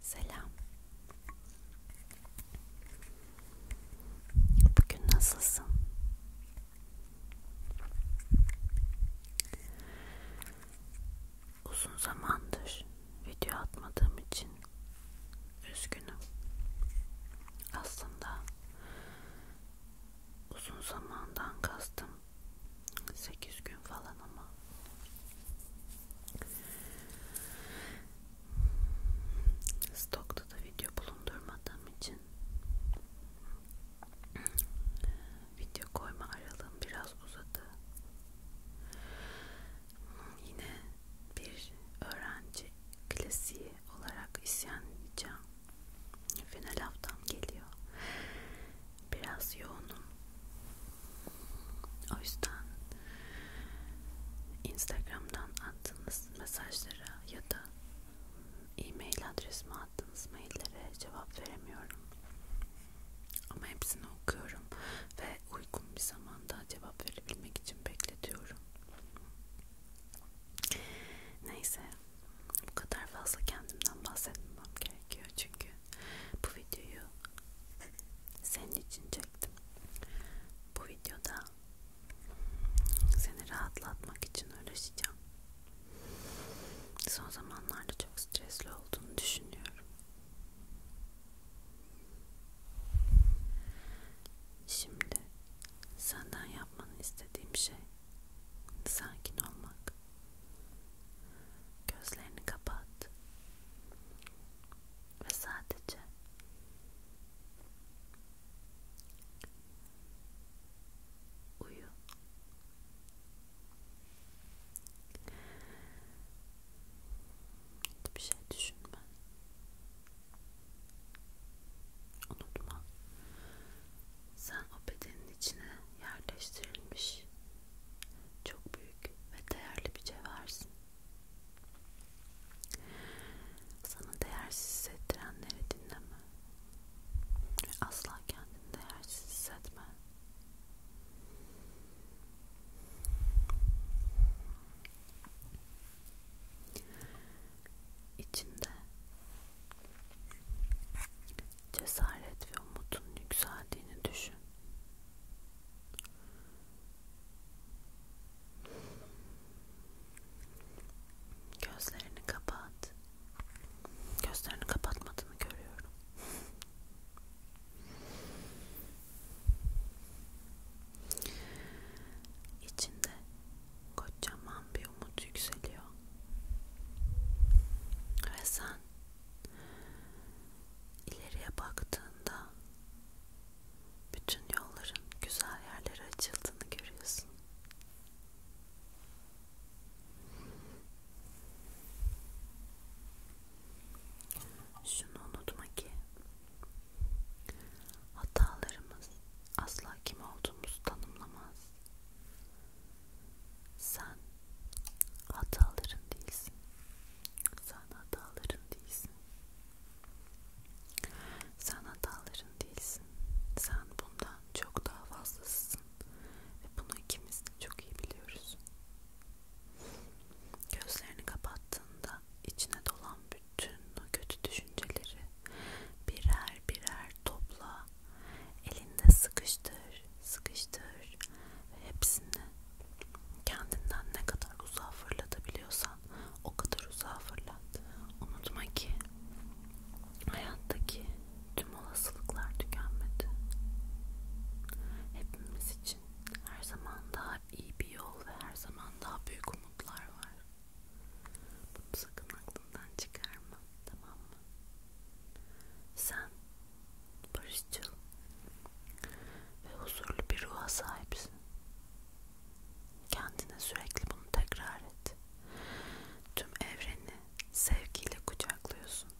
Selam. Bugün nasılsın? Uzun zamandır video atmadığım için üzgünüm. Aslında uzun zamandan kastım 8 gün falan ama stokta da video bulundurmadığım için video koyma aralığım biraz uzadı yine bir öğrenci klasiği olarak isyan edeceğim final haftam geliyor biraz yoğunum o yüzden Instagram'dan attığınız mesajlara ya da e-mail adresime attığınız maillere cevap veremiyorum. Ama hepsini okuyorum ve uygun bir zamanda cevap verebilmek için bekletiyorum. Neyse, bu kadar fazla kendimden bahsetmem gerekiyor çünkü bu videoyu senin için çektim. Bu videoda seni rahatlatmak için uğraşacağım. Son zamanlarda çok stresli olduğunu düşünüyorum. Şimdi senden yapmanı istediğim şey sakin olmak. Gözlerini kapat ve sadece uyu. Hiçbir şey düşünme. Unutma. Sen o bedenin içine yerleştirilmiş çok büyük ve değerli bir cevhersin. Sana değersiz hissettirenleri dinleme. Ve asla kendini değersiz hissetme. İçinde cesaret ve umutun yükseldiğini düşün. Gözlerini kapat. Gözlerini kapatmadığını görüyorum. İçinde kocaman bir bir umut yükseliyor ve sen ileriye baktığında bütün yolların güzel yerlere açıldığını görüyorsun. Şunu unutma ki hatalarımız asla kim olduğumuzu tanımlamaz. Sen hataların değilsin. Sen hataların değilsin. Sen hataların değilsin. Sen bundan çok daha fazlasısın. Ve bunu ikimiz de çok iyi biliyoruz. Gözlerini kapattığında içine dolan bütün o kötü düşünceleri Birer birer topla. Elinde sıkıştır, sıkıştır ve hepsini kendinden ne kadar uzağa fırlatabiliyorsan o kadar uzağa fırlat. Unutma ki hayattaki tüm olasılıklar tükenmedi. Hepimiz için her zaman daha iyi bir yol ve her zaman daha büyük umutlar var. Bunu sakın aklından çıkarma, tamam mı? Sen barışçıl ve huzurlu bir ruha sahipsin. Kendine sürekli bunu tekrar et. Tüm evreni sevgiyle kucaklıyorsun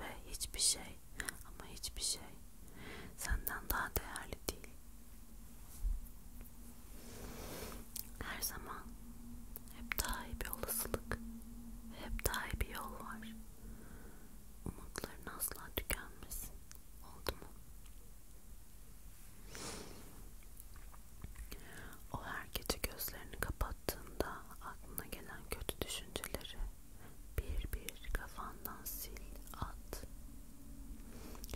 ve hiçbir şey ama hiçbir şey senden daha değerli değil. Her zaman hep daha iyi bir olasılık ve hep daha iyi bir yol var. Umutların asla tükenmesin. Oldu mu? O her gece gözlerini kapattığında aklına gelen kötü düşünceleri bir bir kafandan sil at.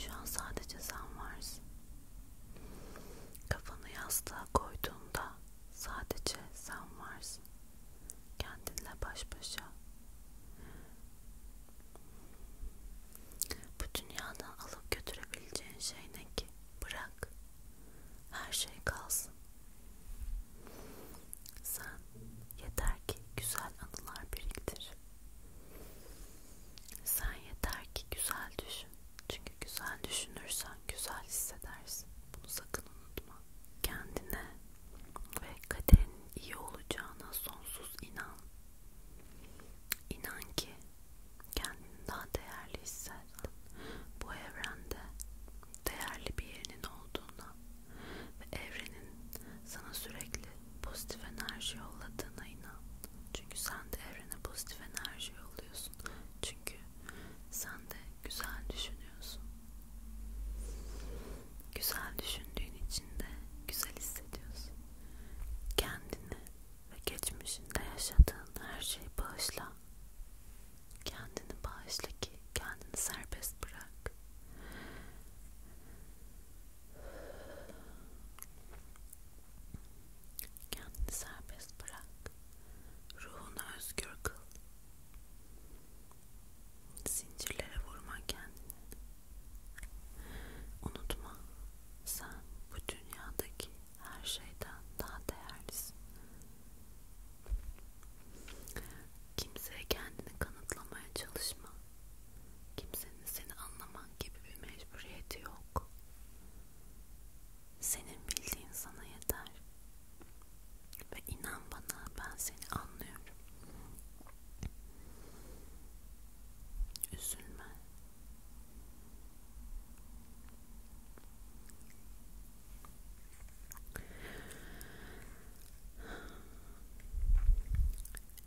Şu an sadece sen varsın. Kafanı yastığa koyduğunda sadece sen varsın. Kendinle baş başa. Bu dünyadan alıp götürebileceğin şey ne ki? Bırak. Her şey kalsın. Sen yeter ki güzel anılar biriktir. Sen yeter ki güzel düşün. Çünkü güzel düşünürsen güzel hissedersin. Bunu sakın unutma. Kendine ve kaderin iyi olacağına sonsuz inan. İnan ki kendini daha değerli hisset. Bu evrende değerli bir yerinin olduğuna ve evrenin sana sürekli pozitif enerji yolladığına inan. Çünkü sen de evrene pozitif enerji yolluyorsun. Çünkü sen de güzel düşünüyorsun. Güzel düşündüğün için de güzel hissediyorsun. Kendini ve geçmişinde yaşadığın her şeyi bağışla. Kendini bağışla ki kendini serbest bırak. Kendini serbest bırak. Ruhunu özgür kıl. Zincirlere vurma kendini. Unutma, sen bu dünyadaki her şeyden daha değerlisin. Kimseye kendini kanıtlamaya çalışma. Kimsenin seni anlaman gibi bir mecburiyeti yok. Senin bildiğin sana yeter. Ve inan bana ben seni anlıyorum. Üzülme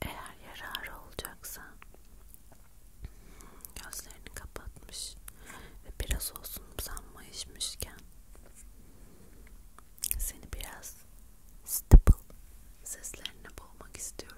eğer yararı olacaksa gözlerini kapatmış ve biraz olsun sanmayışmışken seni biraz stable seslerine boğmak istiyorum.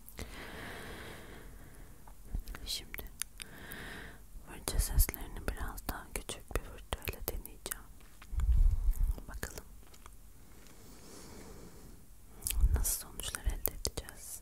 Şimdi fırça seslerini biraz daha küçük bir fırçayla deneyeceğim. Bakalım nasıl sonuçlar elde edeceğiz.